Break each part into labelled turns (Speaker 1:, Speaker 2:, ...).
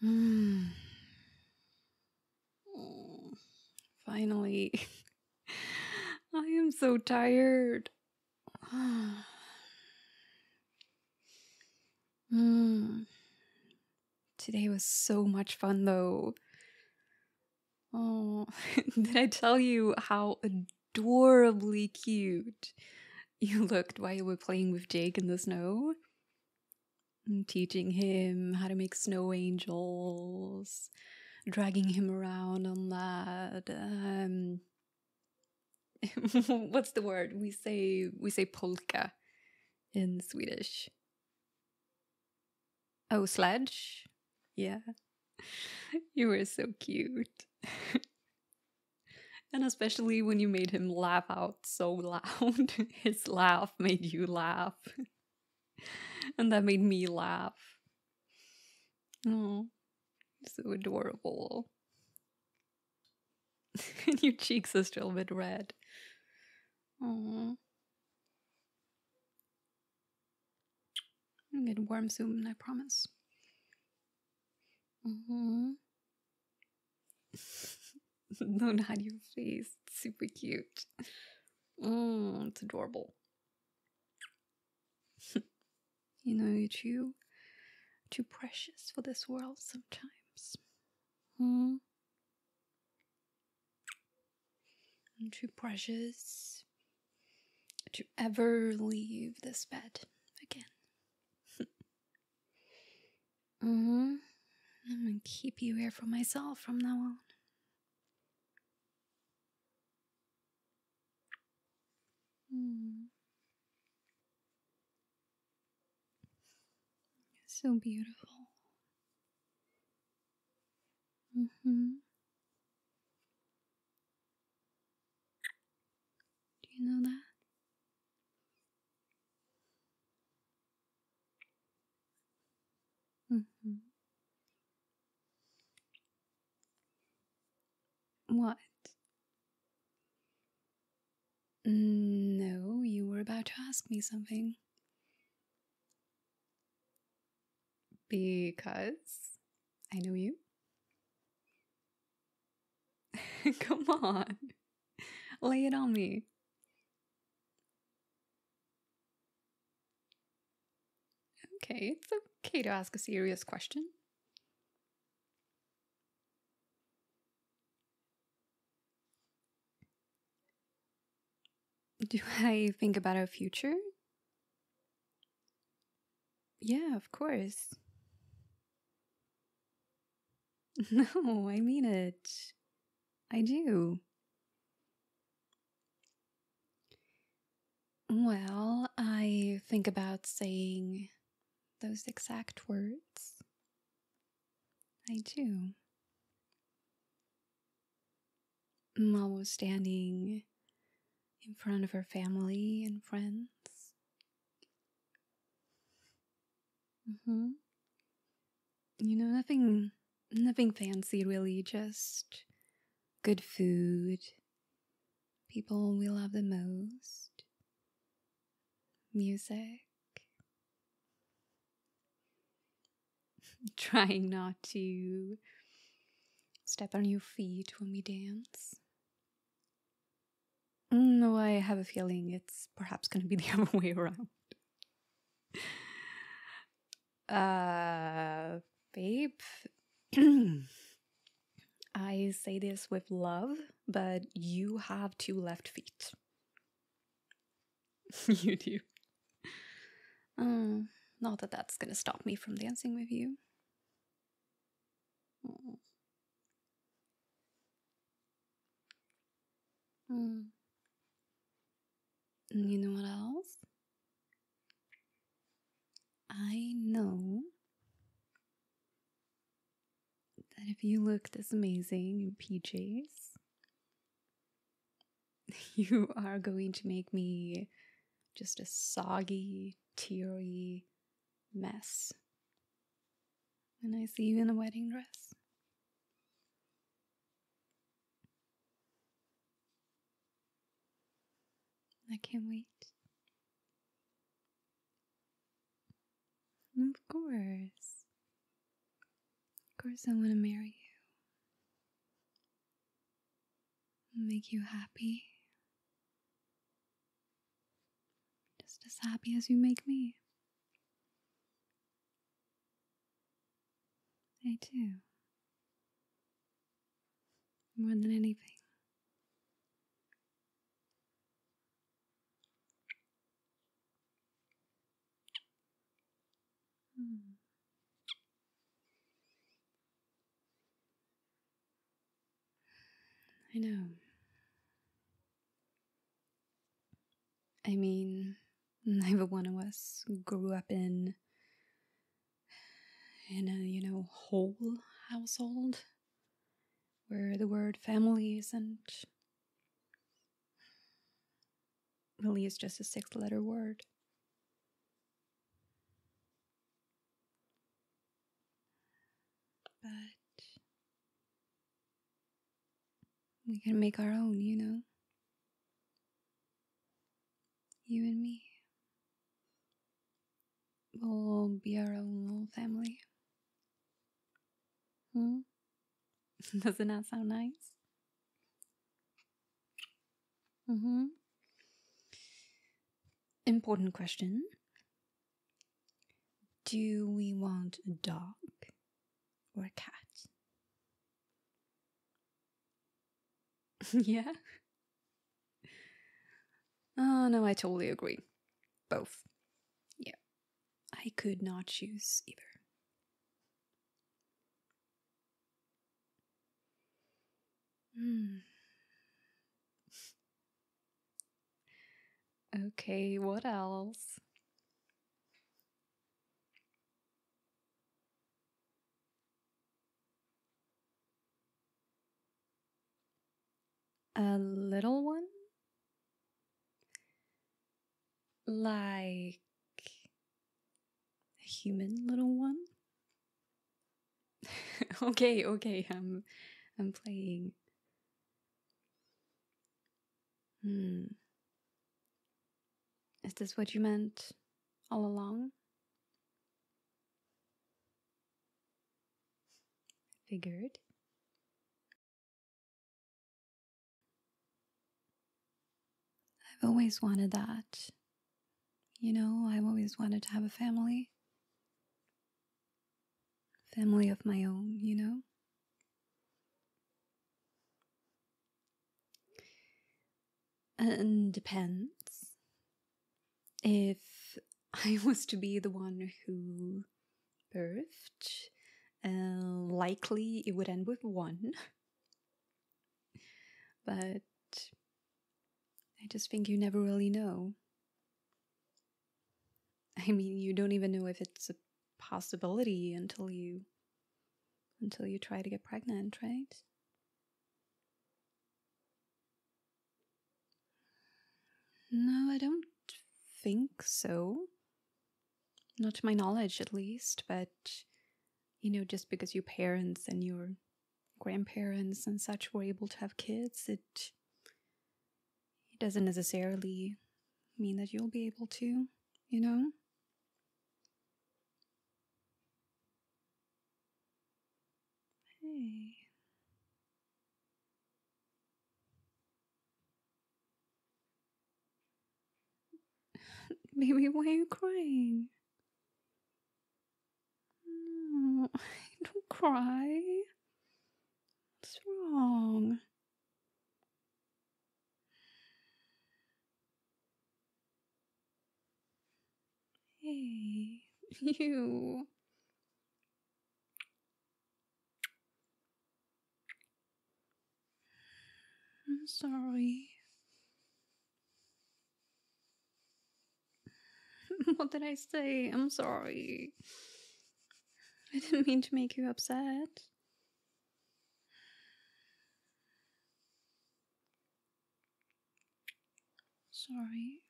Speaker 1: Hmm. finally. I am so tired. Hmm. Today was so much fun, though. Oh, did I tell you how adorably cute you looked while you were playing with Jake in the snow. And teaching him how to make snow angels, dragging him around on that. Um, what's the word we say? We say polka in Swedish. Oh, sledge. Yeah, you were so cute. And especially when you made him laugh out so loud. His laugh made you laugh. and that made me laugh. Oh, so adorable. and your cheeks are still a bit red. Oh. I'm gonna warm soon, I promise. Mm-hmm. no, not your face. It's super cute. Mm, it's adorable. you know, you're too, too precious for this world sometimes. Hmm? too precious to ever leave this bed again. mm I'm gonna keep you here for myself from now on. Mm. So beautiful. Mm-hmm. Do you know that? Mm -hmm. What? No, you were about to ask me something. Because I know you. Come on. Lay it on me. Okay, it's okay to ask a serious question. Do I think about our future? Yeah, of course. No, I mean it. I do. Well, I think about saying those exact words. I do. Mom was standing in front of her family and friends, Mm-hmm. You know, nothing nothing fancy really, just good food, people we love the most, music. Trying not to step on your feet when we dance. Mm, no, I have a feeling it's perhaps going to be the other way around. Uh, babe, I say this with love, but you have two left feet. you do. Um, not that that's going to stop me from dancing with you. Mm. Mm. And you know what else? I know that if you look this amazing in PJs, you are going to make me just a soggy, teary mess when I see you in a wedding dress. I can't wait. Of course. Of course, I want to marry you. Make you happy. Just as happy as you make me. They too. More than anything. Hmm. I know. I mean, neither one of us grew up in in a, you know, whole household where the word family isn't really is just a six letter word. But we can make our own, you know? You and me. We'll be our own little family. Hmm? Doesn't that sound nice? Mm hmm. Important question. Do we want a dog or a cat? yeah? Oh, no, I totally agree. Both. Yeah. I could not choose either. Hmm. Okay, what else? A little one? Like a human little one? okay, okay, I'm I'm playing. Hmm. Is this what you meant all along? Figured. I've always wanted that. You know, I've always wanted to have a family family of my own, you know? And depends. If I was to be the one who birthed, uh, likely it would end with one. but I just think you never really know. I mean, you don't even know if it's a possibility until you until you try to get pregnant, right? No, I don't think so. Not my knowledge, at least, but you know, just because your parents and your grandparents and such were able to have kids, it it doesn't necessarily mean that you'll be able to, you know? Hey. Baby, why are you crying? don't cry. What's wrong? Hey, you. I'm sorry. what did I say? I'm sorry. I didn't mean to make you upset. Sorry.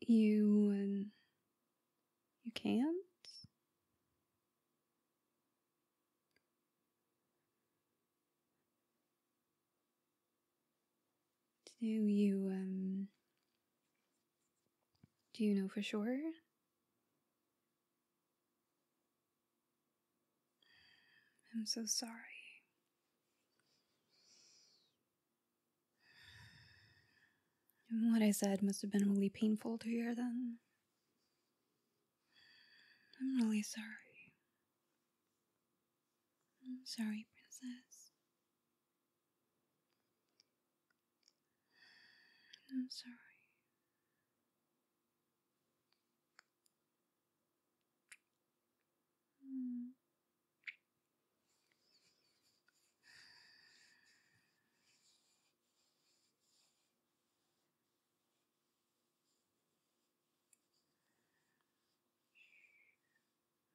Speaker 1: You um, you can't? Do you, um, do you know for sure? I'm so sorry. what I said must have been really painful to hear then. I'm really sorry. I'm mm, sorry, princess. I'm mm, sorry. Mm.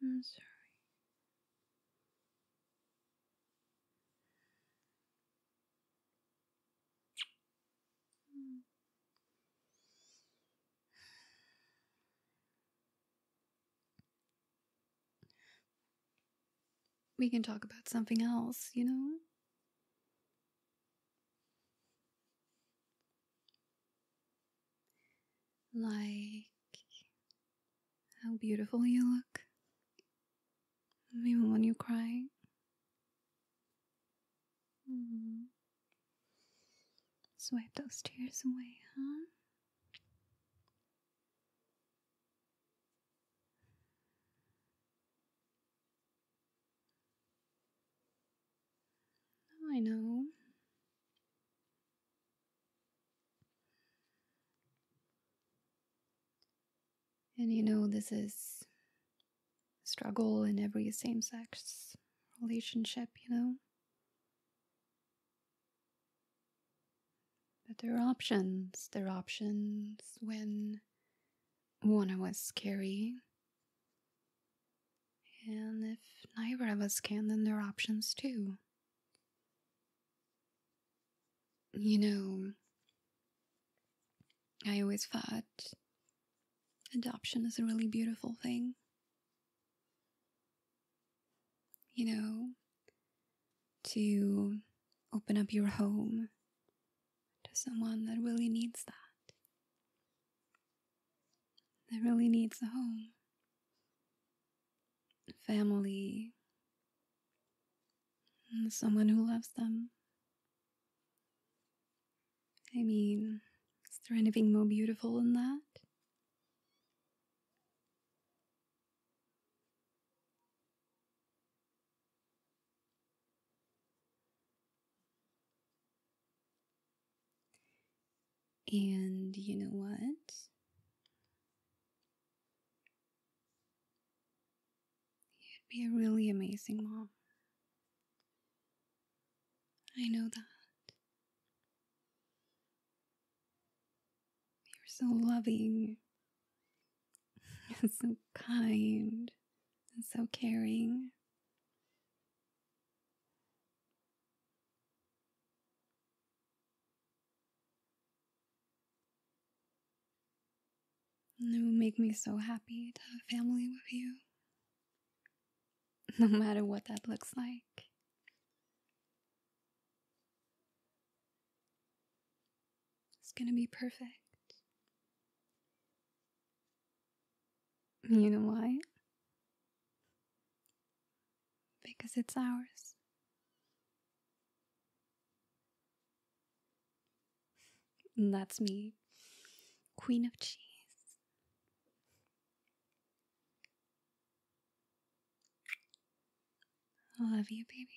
Speaker 1: I'm sorry. We can talk about something else, you know? Like how beautiful you look, even when you're crying. Mm mm-hmm. Swipe those tears away, huh? Oh, I know. And you know, this is struggle in every same sex relationship, you know? But there are options. There are options when one of us carry and if neither of us can, then there are options too. You know, I always thought adoption is a really beautiful thing. You know, to open up your home to someone that really needs that that really needs a home. Family, and someone who loves them. I mean, is there anything more beautiful than that? And you know what? You'd be a really amazing mom. I know that. You're so loving, and so kind, and so caring it would make me so happy to have a family with you, no matter what that looks like. It's gonna be perfect. You know why? Because it's ours. And that's me, Queen of Cheese. love you, baby.